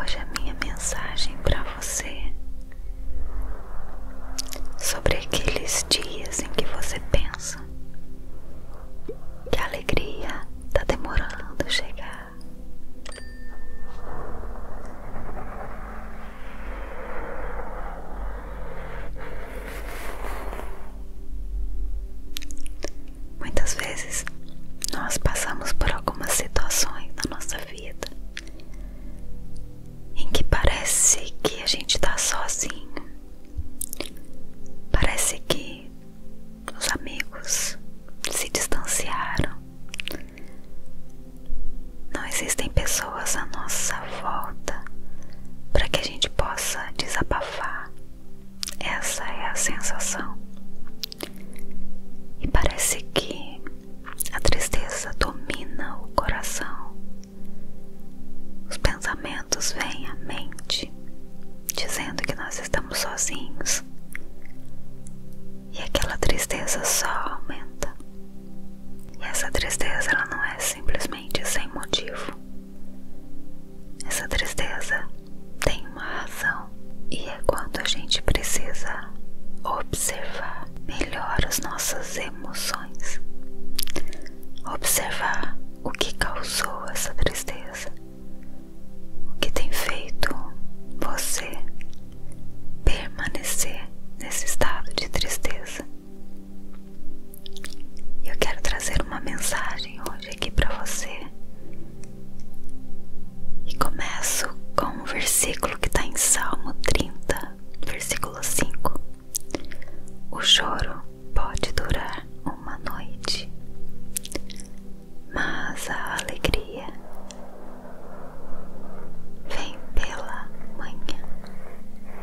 Hoje a minha mensagem para você sobre aqueles dias em que você pensa que a alegria está demorando a chegar. Muitas vezes nós passamos por algumas situações na nossa vida em que parece que a gente está sozinho, parece que os amigos se distanciaram, não existem pessoas à nossa volta para que a gente possa desabafar. Essa é a sensação. E parece que a tristeza domina o coração. Os pensamentos vêm à mente, dizendo que nós estamos sozinhos. E aquela tristeza só aumenta. E essa tristeza ela não é simplesmente sem motivo. Essa tristeza tem uma razão e é quando a gente precisa observar melhor as nossas emoções, observar o que causou essa tristeza, o que tem feito você permanecer nesse estado de tristeza. Eu quero trazer uma mensagem hoje aqui para você. E começo com um versículo que está em Salmo 30, versículo 5. O choro pode durar uma noite, mas a alegria vem pela manhã.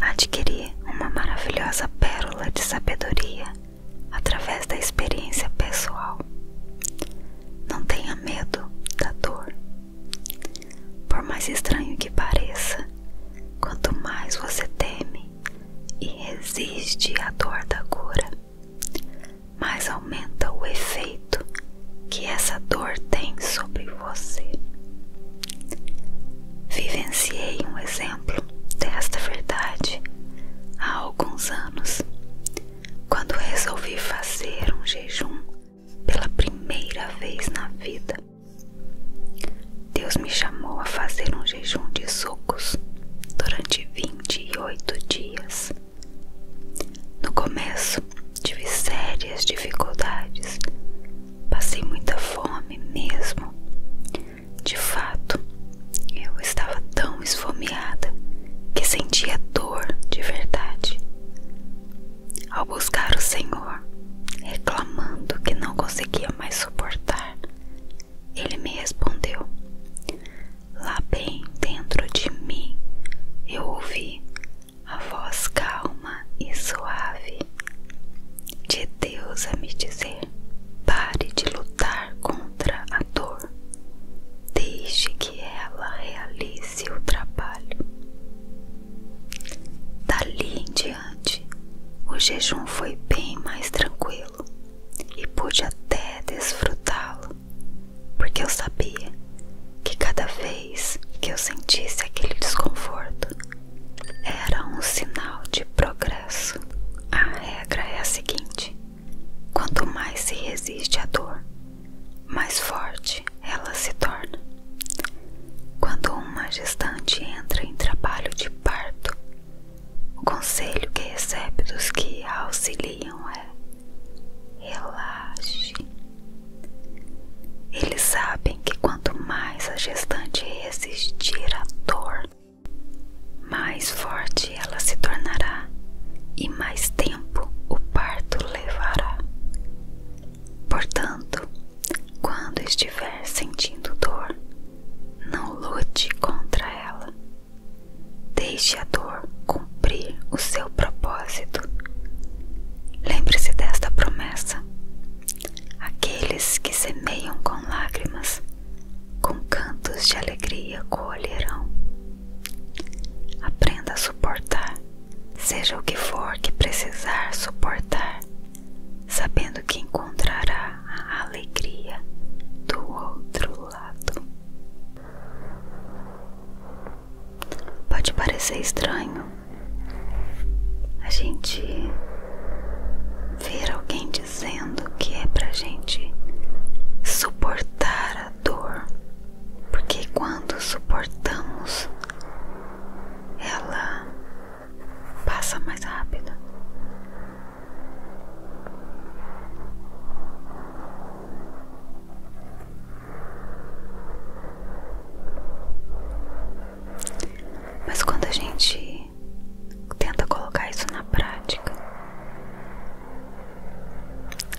Adquirir uma maravilhosa pérola de sabedoria através da experiência pessoal. Não tenha medo da dor. Por mais estranho que pareça, quanto mais você teme e resiste à dor da cura, mais aumenta o efeito que essa dor tem sobre você. Vivenciei um exemplo desta verdade há alguns anos, quando resolvi fazer um jejum pela primeira vez na vida. Deus me chamou a fazer um jejum de sucos durante 28 dias. No começo, tive sérias dificuldades Passei muita fome mesmo. De fato, eu estava tão esfomeada que sentia dor de verdade. Ao buscar o Senhor, reclamando que não conseguia mais suportar, ele me respondeu. Lá bem dentro de mim, eu ouvi a voz calma e suave de Deus a me dizer: pare de lutar contra a dor, deixe que ela realize o trabalho. Dali em diante, o jejum foi bem mais tranquilo e pude até desfrutá-lo, porque eu sabia que cada vez que eu sentisse aquele desconforto, era um sinal de progresso. A regra é a seguinte: quanto mais se resiste à dor, mais forte ela se torna. Quando uma gestante entra em trabalho de parto, o conselho que recebe dos que a auxiliam é: relaxe. Eles sabem que quanto mais a gestante resistir à dor, mais forte ela se tornará e mais tempo o parto levará. Portanto, quando estiver sentindo dor, não lute contra ela. Deixe a dor cumprir o seu propósito. Lembre-se desta promessa Aqueles que semeiam com lágrimas, com cantos de alegria colherão. Aprenda a suportar, seja o que for que precisar suportar, sabendo que encontrará a alegria do outro lado. Pode parecer estranho a gente ver alguém dizendo que é pra gente suportar a dor, porque quando suportamos, ela passa mais rápido. Mas quando a gente tenta colocar isso na prática,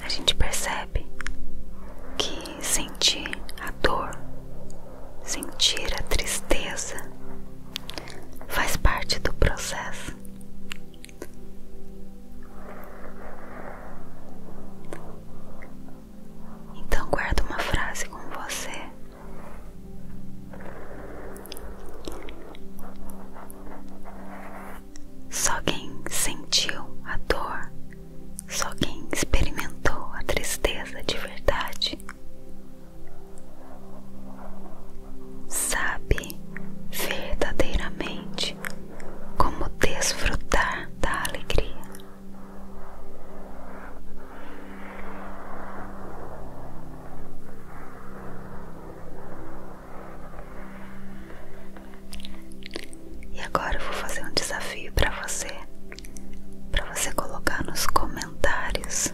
a gente percebe que sentir a dor, sentir a tristeza, faz parte do processo. Então guarda uma frase com você só quem sentiu a dor, só quem experimentou a tristeza de verdade, sabe verdadeiramente como desfrutar da alegria. E agora eu vou fazer um desafio para você, para você colocar nos comentários.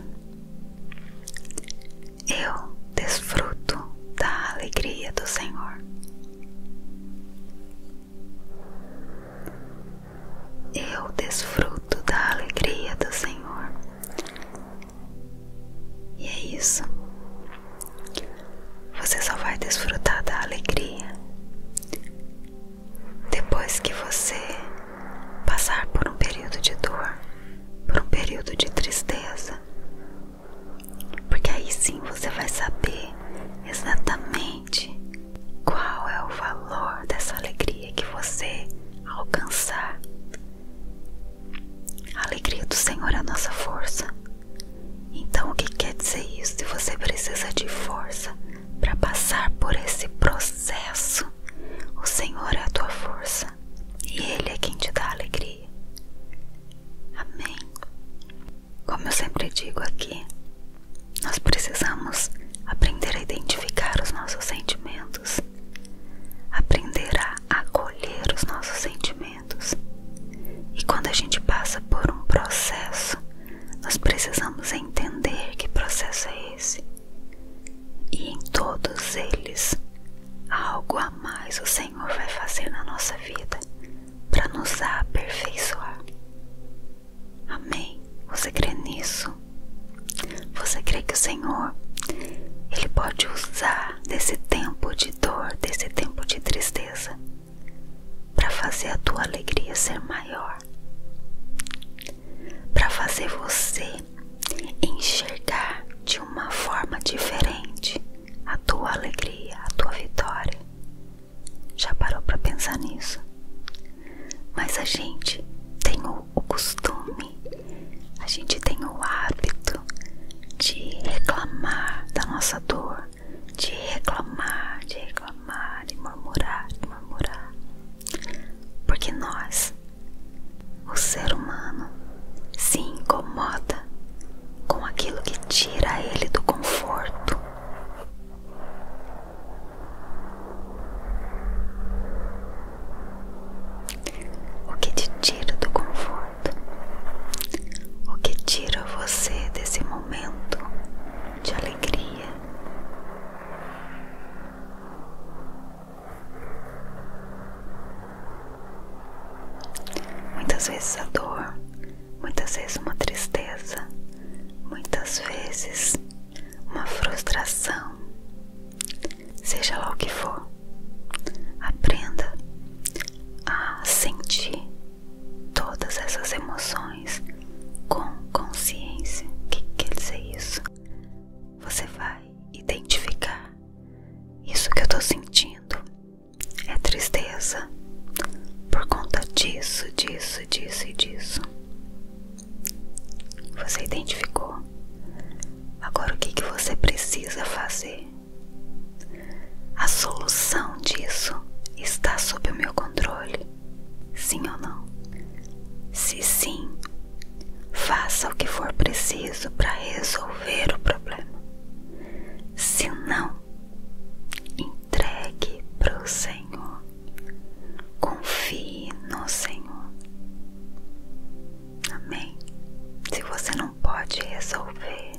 Eu desfruto da alegria do Senhor eu desfruto da alegria do Senhor. E é isso. Você só vai desfrutar da alegria depois que você passar por um período de dor, por um período de tristeza. Porque aí sim você vai saber exatamente qual é o valor dessa alegria que você alcançar. A alegria do Senhor é a nossa força. Então, o que quer dizer isso? Se você precisa de força para passar por esse processo, o Senhor é a tua força e Ele é quem te dá alegria. Amém. Como eu sempre digo aqui, nós precisamos aprender a identificar os nossos sentimentos, aprender a acolher os nossos sentimentos. E quando a gente passa por um processo, nós precisamos entender que processo é esse. E em todos eles, algo a mais o Senhor vai fazer na nossa vida para nos aperfeiçoar. Amém. Você crê nisso? Você crê que o Senhor ele pode usar desse tempo de dor, desse tempo de tristeza, para fazer a tua alegria ser maior, para fazer você enxergar de uma forma diferente a tua alegria, a tua vitória. Já parou para pensar nisso? mas a gente tem o, costume, a gente tem o hábito de reclamar da nossa dor, de reclamar, de reclamar, de murmurar, de murmurar, porque nós, o ser humano, se incomoda com aquilo que tira ele do conforto. O que te tira do conforto? O que tira você desse momento de alegria? Muitas vezes a dor, muitas vezes uma tristeza, muitas vezes uma frustração, seja lá o que for, aprenda a sentir todas essas emoções com consciência. O que quer dizer isso? Você vai identificar isso que eu estou sentindo é tristeza por conta disso, disso, disso e disso. Você identificou. Agora o que, você precisa fazer? A solução disso está sob o meu controle. Sim ou não? Se sim, faça o que for preciso para resolver o problema. Se não, entregue para o Senhor. Confie no Senhor. Amém. Se você não pode resolver,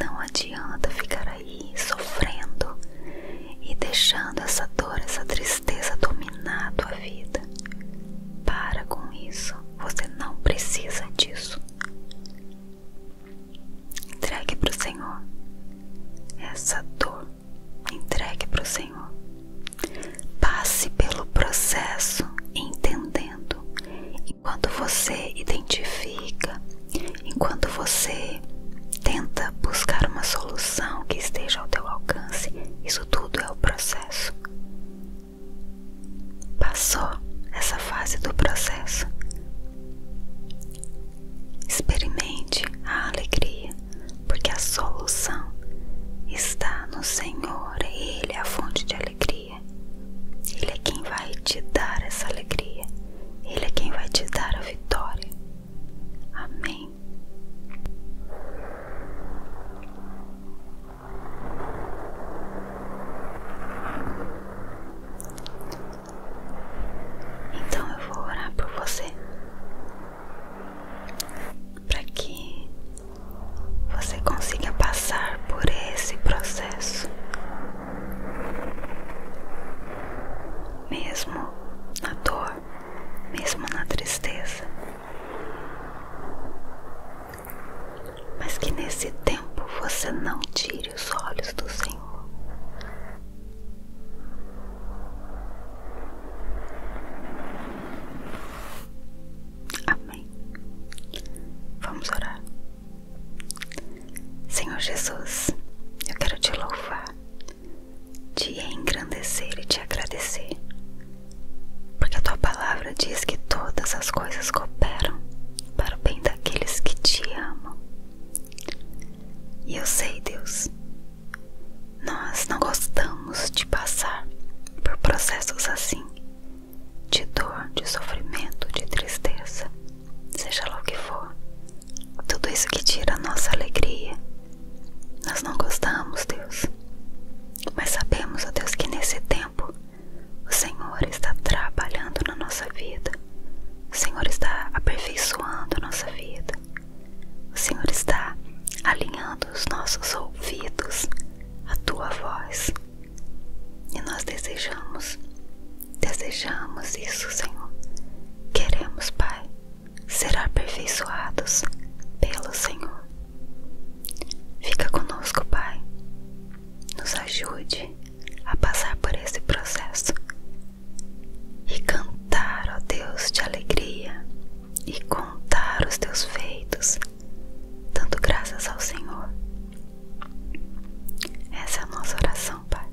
não adianta ficar aí sofrendo e deixando essa dor, essa tristeza dominar a tua vida. Para com isso. Você não precisa disso. Entregue para o Senhor essa dor entregue para o Senhor. Passe pelo processo entendendo. Enquanto você identifica, enquanto você tenta buscar uma solução que esteja ao teu alcance, isso tudo é o processo. Passou essa fase do processo. Experimente a alegria, porque a solução está no Senhor, Ele é a fonte de alegria, Ele é quem vai te dar essa alegria, Ele é quem vai te dar a vitória. Amém. Então eu vou orar por você para que você consiga passar por esse processo, mesmo na dor, mesmo na tristeza, mas que nesse tempo você não tire os olhos do Senhor, Amém. Vamos orar. Senhor Jesus, eu quero te louvar, te engrandecer e te agradecer, porque a tua palavra diz que todas as coisas cooperam para o bem daqueles que te amam. E eu sei, Deus, nós não gostamos de passar por processos assim, de dor, de sofrimento, de tristeza, seja lá o que for. Tudo isso que tira a nossa alegria. Nós não gostamos, Deus. Mas sabemos, ó Deus, que nesse tempo o Senhor está trabalhando na nossa vida. O Senhor está aperfeiçoando a nossa vida. O Senhor está alinhando os nossos ouvidos à tua voz. E nós desejamos, desejamos isso, Senhor. Queremos, Pai, ser aperfeiçoados pelo Senhor. Fica conosco, Pai. Nos ajude a passar por esse processo e cantar, ó Deus, de alegria e contar os teus feitos, dando graças ao Senhor. Essa é a nossa oração, Pai.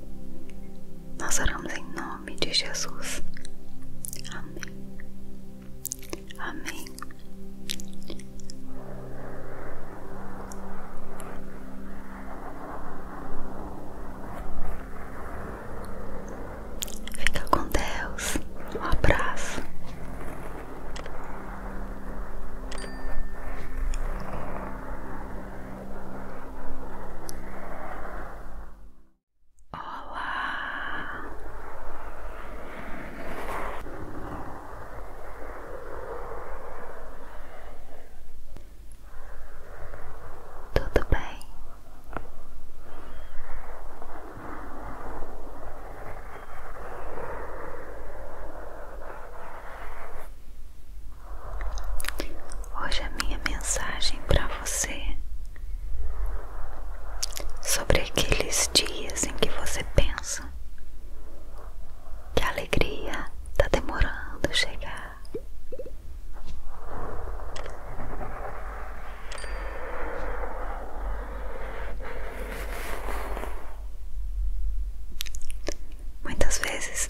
Nós oramos em nome de Jesus. Amém. Amém. Fica com Deus. Um abraço. Olá. Tudo bem. Hoje a minha mensagem para você sobre aqueles dias em que você pensa que a alegria está demorando a chegar. Muitas vezes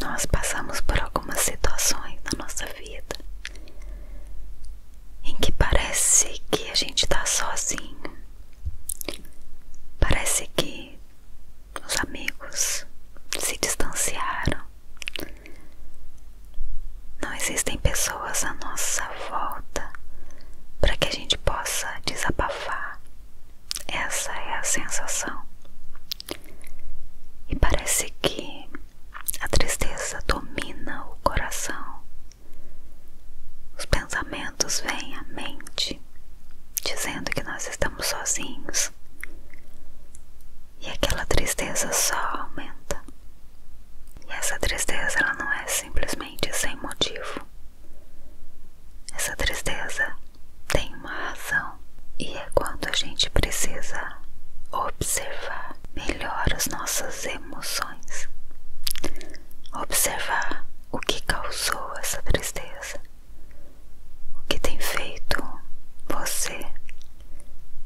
nós passamos por algumas situações na nossa vida em que parece que a gente está sozinho, parece que os amigos se distanciaram, não existem pessoas à nossa volta para que a gente possa desabafar. Essa é a sensação. E parece que a tristeza domina o coração. Os pensamentos vêm à mente, dizendo que nós estamos sozinhos. E aquela tristeza só aumenta. E essa tristeza ela não é simplesmente sem motivo. Essa tristeza tem uma razão e é quando a gente precisa observar melhor as nossas emoções. Observar o que causou essa tristeza. O que tem feito você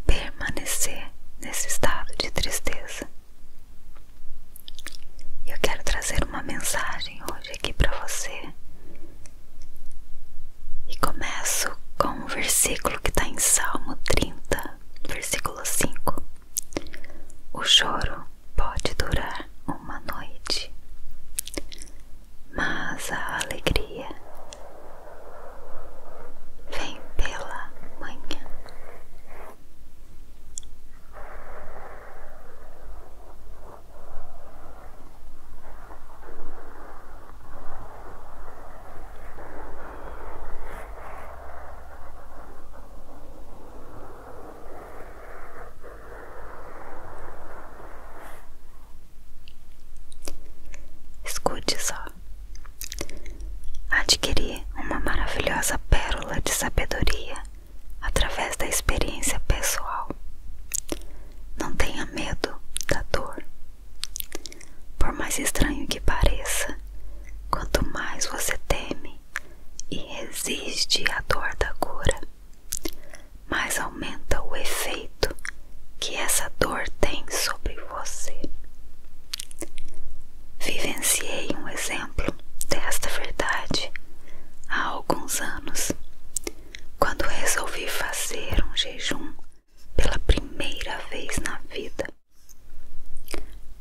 permanecer nesse estado de tristeza. Eu quero trazer uma mensagem hoje aqui para você. E começo com um versículo que está em Salmo 30, versículo 5. O choro pode durar uma noite, mas a alegria vem pela manhã. Escute só. adquirir uma maravilhosa pérola de sabedoria através da experiência pessoal. Não tenha medo da dor. Por mais estranho que pareça, quanto mais você teme e resiste à dor da cura, mais aumenta o efeito que essa dor tem sobre você. Vivenciei um exemplo desta verdade há alguns anos, quando resolvi fazer um jejum pela primeira vez na vida.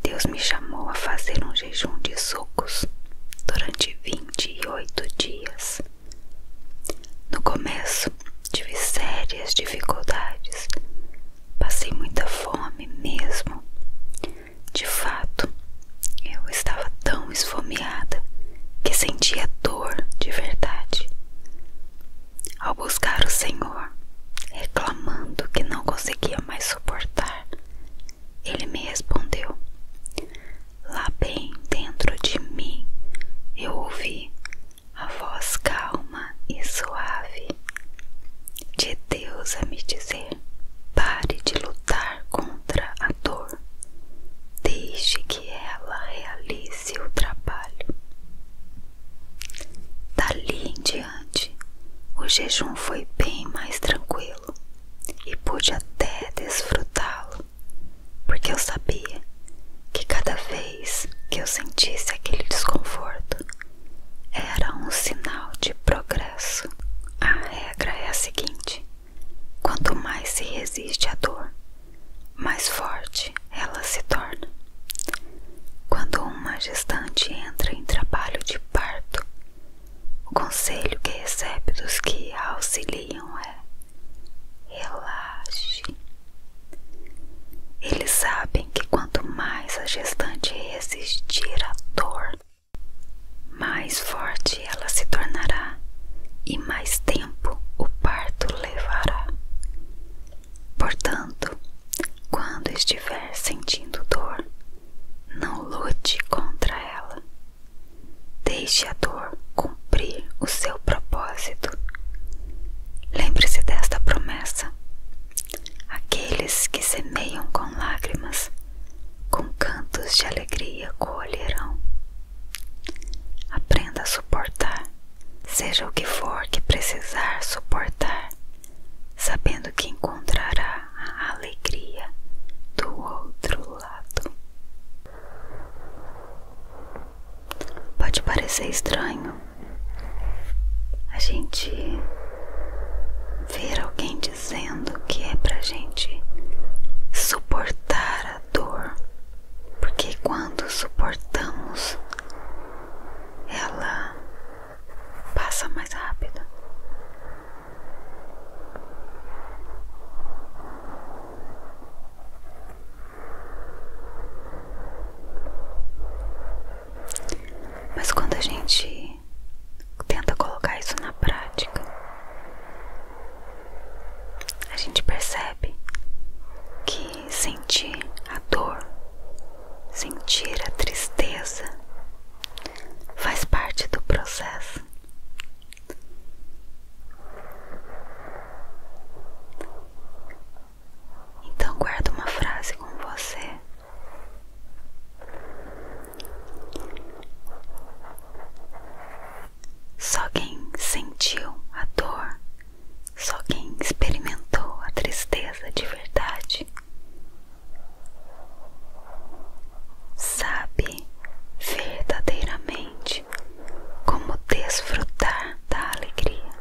Deus me chamou a fazer um jejum de sucos durante 28 dias. No começo, Tive sérias dificuldades. Passei muita fome mesmo. De fato, eu estava tão esfomeada que sentia dor de verdade. Ao buscar o Senhor, reclamando que não conseguia mais suportar, ele me respondeu. Lá bem dentro de mim eu ouvi a voz calma e suave de Deus a me dizer: pare de lutar contra a dor, deixe que ela realize o trabalho. Dali em diante, o jejum foi bem mais tranquilo e pude até desfrutá-lo porque eu sabia que cada vez que eu sentisse aquele desconforto era um sinal de progresso. A regra é a seguinte: quanto mais se resiste à dor, mais forte ela se torna. Quando um gestante entra em trabalho de parto, o conselho que recebe dos que a auxiliam é: Relaxe. Eles sabem que quanto mais a gestante resistir à dor, mais forte ela se tornará e mais tempo o parto levará. Portanto, quando estiver sentindo dor, não lute contra ela. Deixe a dor cumprir o seu propósito. Lembre-se desta promessa: aqueles que semeiam com lágrimas, com cantos de alegria colherão. Aprenda a suportar, seja o que for que precisar suportar, sabendo que encontrará a alegria do outro lado. Pode parecer estranho a gente ver alguém dizendo que é pra gente suportar a dor, porque quando suportamos, ela passa mais rápido. Mas quando a gente tenta colocar isso na prática, a gente percebe que sentir a dor, sentir a tristeza faz parte do processo. Então guarda uma frase com você. Só quem sentiu a dor, só quem experimentou a tristeza de verdade, sabe verdadeiramente como desfrutar da alegria.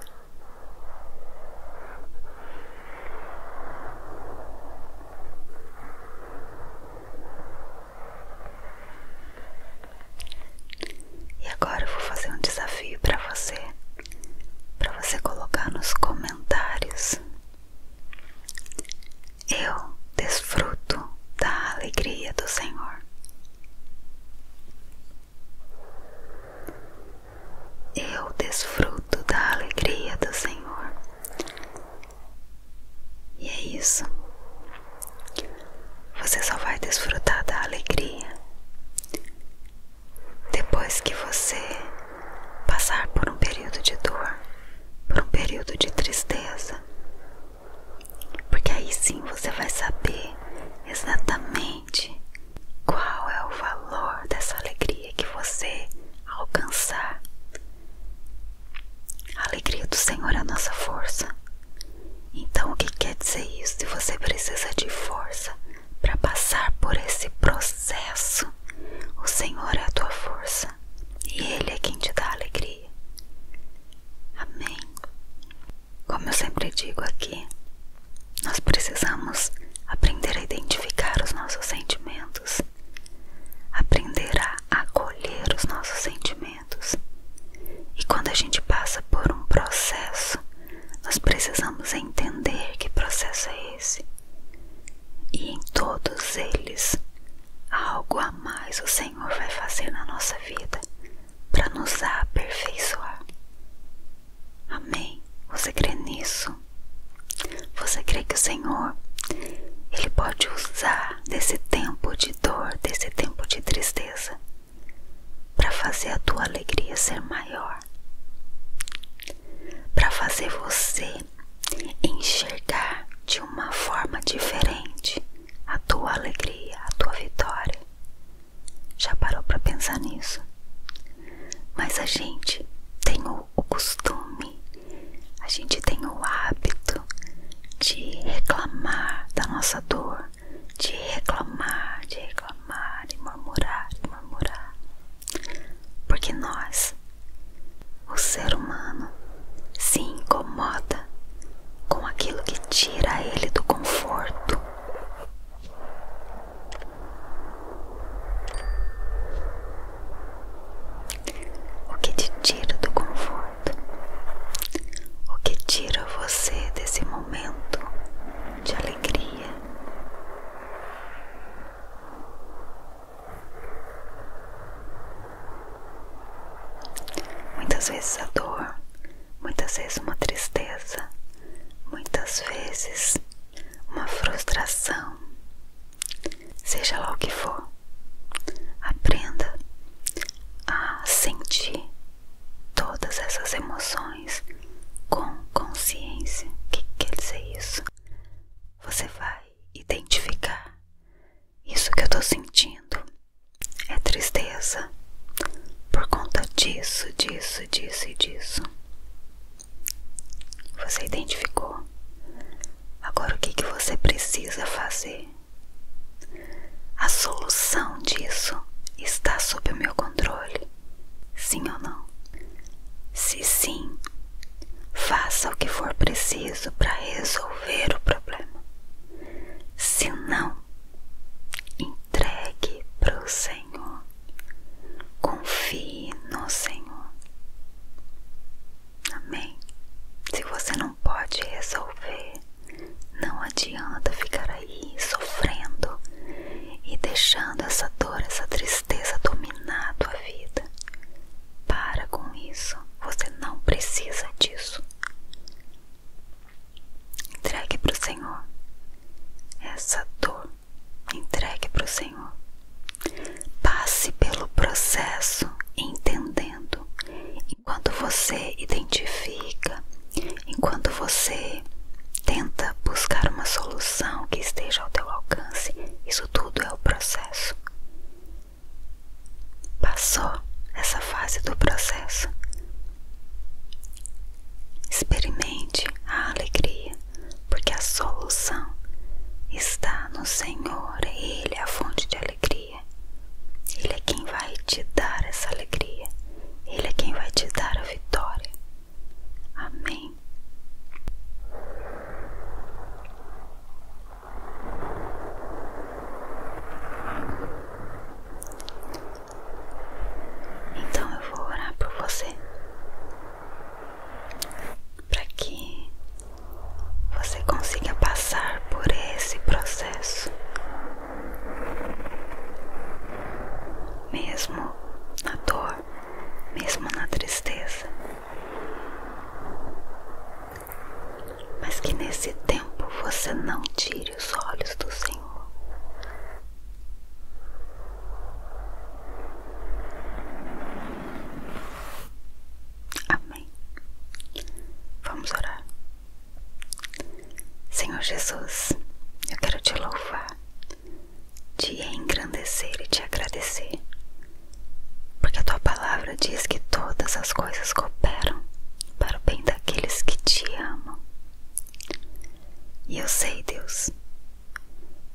E agora eu vou fazer um desafio para você, para você colocar nos comentários. Eu desfruto da alegria do Senhor. Eu desfruto da alegria do Senhor. E é isso. Você só vai desfrutar da alegria depois que você passar por um período de dor, por um período de tristeza, porque aí sim você vai saber exatamente qual é o valor dessa alegria que você alcançar. A alegria do Senhor é a nossa força. Então, o que quer dizer isso? Se você precisa de força para passar por esse processo, o Senhor é a tua força e Ele é quem te dá alegria. Amém. Como eu sempre digo aqui, nós precisamos aprender a identificar os nossos sentimentos, aprender a acolher os nossos sentimentos. E quando a gente passa por um processo, nós precisamos entender que processo é esse. E em todos eles, algo a mais o Senhor vai fazer na nossa vida para nos aperfeiçoar. Amém. Você crê nisso? Você crê que o Senhor ele pode usar desse tempo de dor, desse tempo de tristeza, para fazer a tua alegria ser maior, para fazer você enxergar de uma forma diferente a tua alegria, a tua vitória. Já parou para pensar nisso? Mas a gente tem o, o costume, a gente tem o hábito de reclamar da nossa dor, de reclamar, de reclamar e murmurar e murmurar. Porque nós, o ser humano, se incomoda com aquilo que tira ele do conforto. O que te tira do conforto? O que tira você desse momento de alegria? Muitas vezes a dor muitas vezes uma tristeza, muitas vezes uma frustração. Seja lá o que for, aprenda a sentir todas essas emoções com consciência. O que quer dizer isso? Você vai identificar isso que eu estou sentindo é tristeza por conta disso, disso, disso e disso. Você identificou. Agora o que, que você precisa fazer? A solução disso está sob o meu controle. Sim ou não? Se sim, faça o que for preciso para resolver o problema. Se não, entregue para o Senhor, confie no Senhor. Amém? Se você não pode resolver, não adianta ficar aí sofrendo e deixando essa dor, essa tristeza dominar a tua vida. Para com isso, você não precisa disso. Entregue para o Senhor. Essa dor, entregue para o Senhor. Passe pelo processo entendendo. Enquanto você identifica, enquanto você tenta buscar uma solução que esteja ao teu alcance, isso tudo é o processo passou essa fase do processo. Experimente a alegria, porque a solução está no Senhor, Ele é a fonte de alegria. Ele é quem vai te dar essa alegria, Ele é quem vai te dar a vitória. Amém. Então eu vou orar por você para que você consiga passar por esse processo, mesmo na dor, mesmo na tristeza mas que nesse tempo você não tire os olhos do Senhor. Amém. Vamos orar. Senhor Jesus, eu quero te louvar, te engrandecer e te agradecer, porque a tua palavra diz que todas as coisas cooperam para o bem daqueles que te amam. E eu sei, Deus,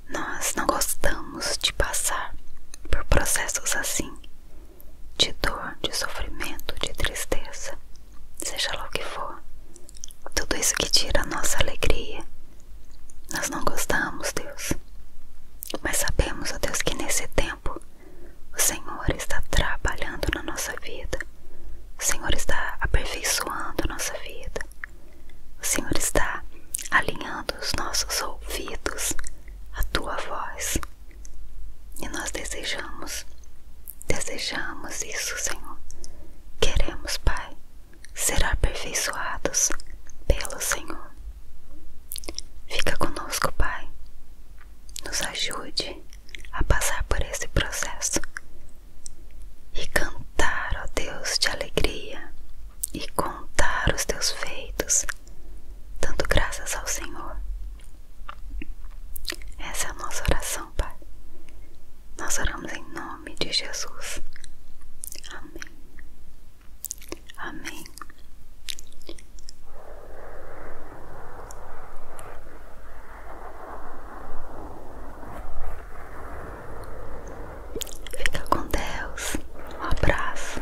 nós não gostamos de passar por processos assim, de dor, de sofrimento, de tristeza, seja lá o que for, tudo isso que tira a nossa alegria. Nós não gostamos, Deus, mas sabemos, ó Deus, que nesse tempo o Senhor está trabalhando na nossa vida. O Senhor está aperfeiçoando nossa vida. O Senhor está alinhando os nossos ouvidos à tua voz. E nós desejamos, desejamos isso, Senhor. Queremos, Pai, ser aperfeiçoados pelo Senhor. Fica conosco, Pai. Nos ajude a passar por esse processo e cantar, ó Deus, de alegria e contar os teus feitos, dando graças ao Senhor. Essa é a nossa oração, Pai. Nós oramos em nome de Jesus. Amém. Amém. Fica com Deus. Um abraço.